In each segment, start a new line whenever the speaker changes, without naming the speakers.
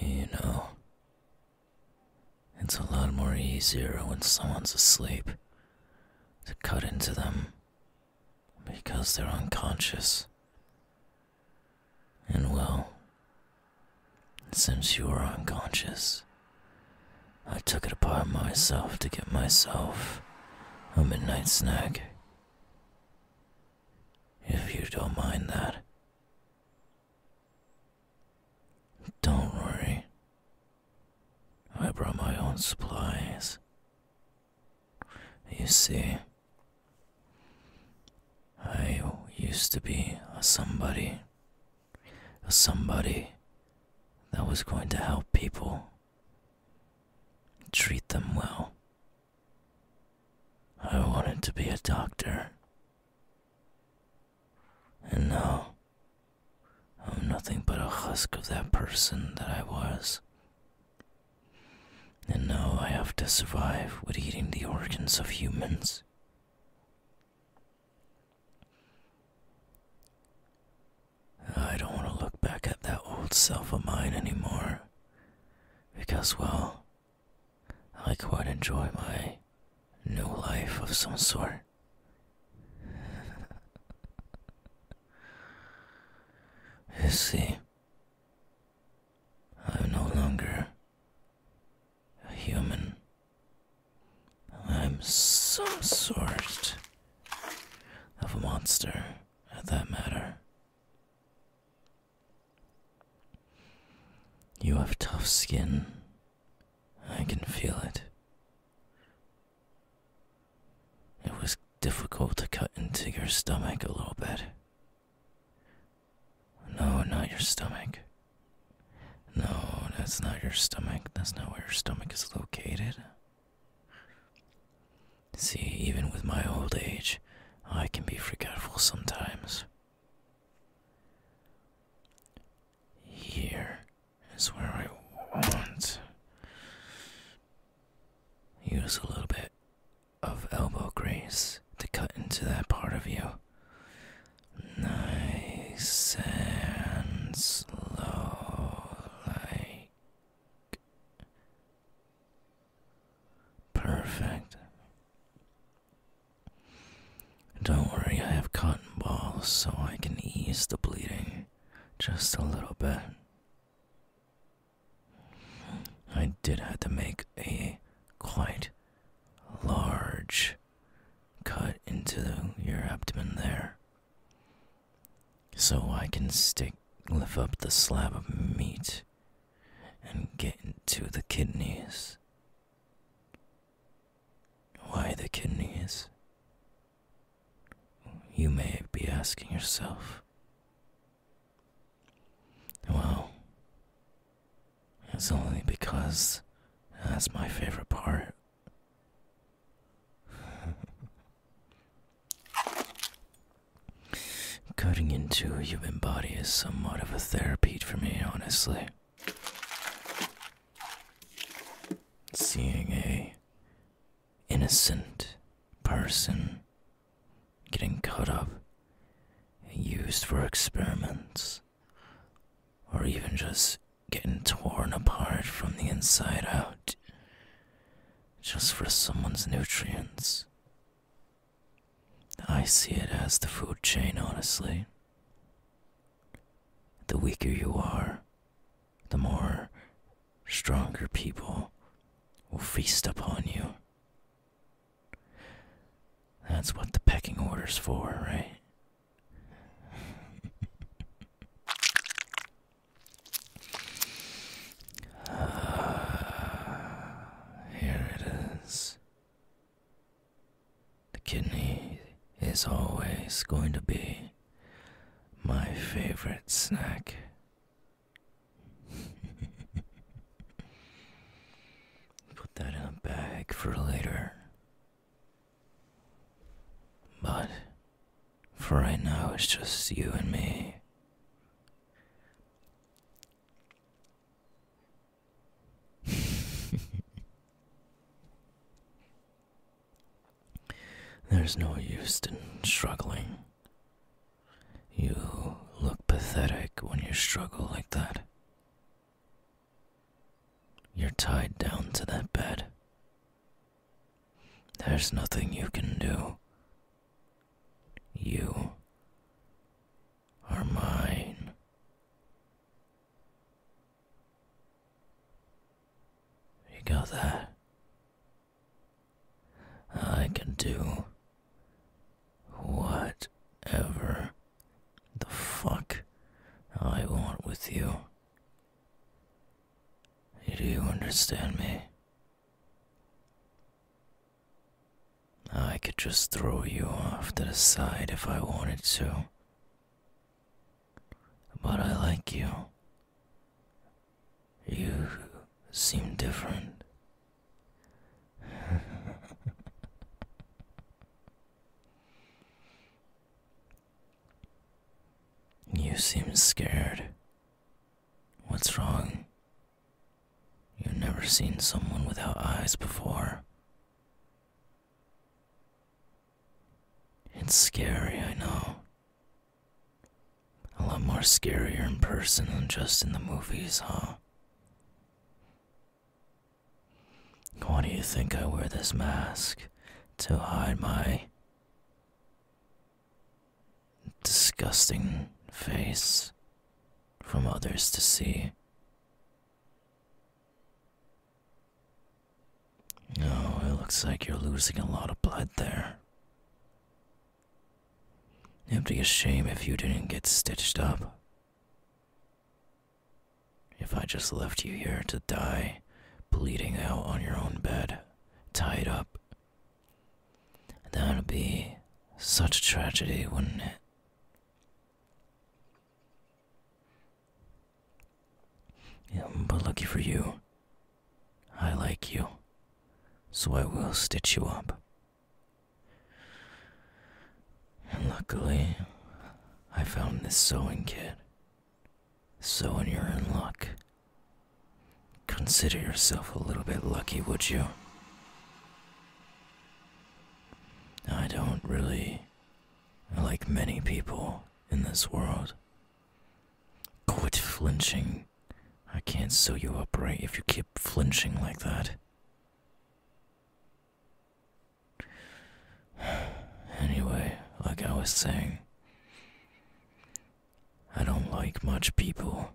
You know, it's a lot more easier when someone's asleep to cut into them because they're unconscious and well, since you were unconscious, I took it upon myself to get myself a midnight snack. If you don't mind that. Don't worry. I brought my own supplies. You see, I used to be a somebody, a somebody that was going to help people, treat them well. I wanted to be a doctor. And now, I'm nothing but a husk of that person that I was. And now I have to survive with eating the organs of humans. I don't want to look back at that old self of mine anymore. Because, well, I quite enjoy my new life of some sort. you see, I am no longer a human. I'm some sort of a monster, at that matter. You have tough skin. I can feel it. It was difficult to cut into your stomach a little bit. No, not your stomach. No, that's not your stomach. That's not where your stomach is located. See, even with my old age, I can be forgetful sometimes. Here is where I want. Use a little bit of elbow grease to cut into that part of you. Nice and slow, like perfect. Don't worry, I have cotton balls so I can ease the bleeding just a little bit. I did have to make a quite large cut into your abdomen there. So I can stick, lift up the slab of meat and get into the kidneys. Why the kidneys? You may be asking yourself. Well, it's only because that's my favorite part. Cutting into a human body is somewhat of a therapy for me, honestly. Seeing a innocent person getting cut up and used for experiments, or even just getting torn apart from the inside out just for someone's nutrients. I see it as the food chain, honestly. The weaker you are, the more stronger people will feast upon you. That's what the pecking order's for, right? here it is. The kidney is always going to be my favorite snack. Put that in a bag for later. But for right now, it's just you and me. There's no use in struggling. You look pathetic when you struggle like that. You're tied down to that bed. There's nothing you can do. You are mine. You got that? I can do whatever the fuck I want with you. Do you understand me? I could just throw you off to the side if I wanted to. But I like you. You seem different. you seem scared. What's wrong? You've never seen someone without eyes before. It's scary, I know. A lot more scarier in person than just in the movies, huh? Why do you think I wear this mask? To hide my disgusting face from others to see. Oh, it looks like you're losing a lot of blood there. It'd be a shame if you didn't get stitched up. If I just left you here to die, bleeding out on your own bed, tied up, that'd be such a tragedy, wouldn't it? Yeah, but lucky for you, I like you, so I will stitch you up. And luckily, I found this sewing kit. So, when you're in luck, consider yourself a little bit lucky, would you? I don't really like many people in this world. Quit flinching I can't sew you up right if you keep flinching like that. Anyway, like I was saying, I don't like much people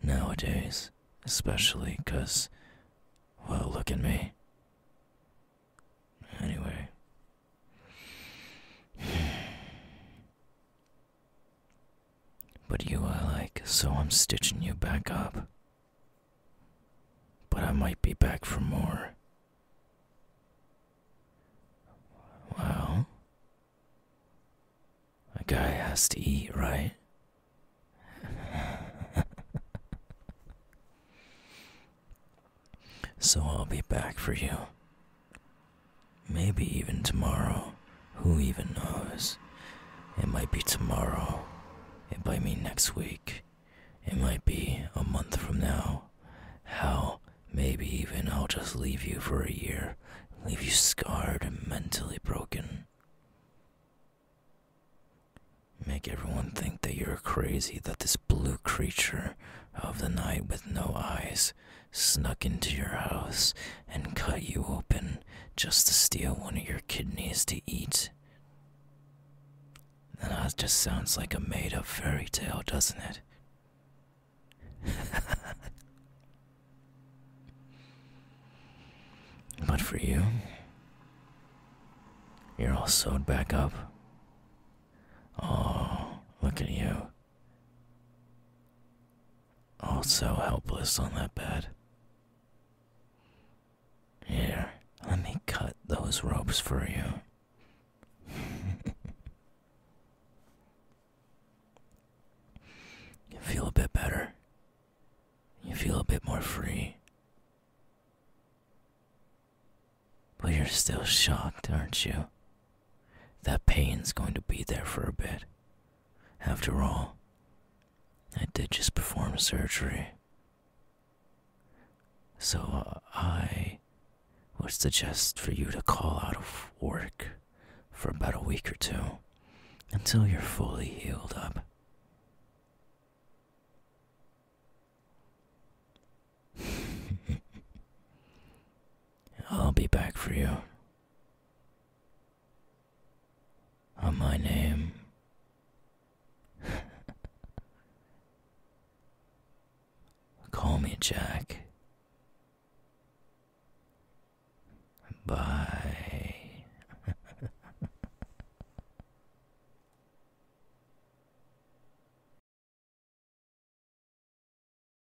nowadays, especially because, well, look at me. Anyway. But you I like, so I'm stitching you back up. But I might be back for more. Well, a guy has to eat, right? so I'll be back for you Maybe even tomorrow. Who even knows? It might be tomorrow. It might be next week. It might be a month from now. Hell, maybe even I'll just leave you for a year, leave you scarred and mentally broken. Make everyone think that you're crazy, that this blue creature of the night with no eyes snuck into your house and cut you open just to steal one of your kidneys to eat. That just sounds like a made up fairy tale, doesn't it? but for you, you're all sewed back up. Oh, look at you. Oh, so helpless on that bed. Here, let me cut those ropes for you. you feel a bit better. You feel a bit more free. But you're still shocked, aren't you? That pain's going to be there for a bit. After all, I did just perform surgery. So uh, I would suggest for you to call out of work for about a week or two until you're fully healed up. I'll be back for you. On my name. Call me Jack. Bye.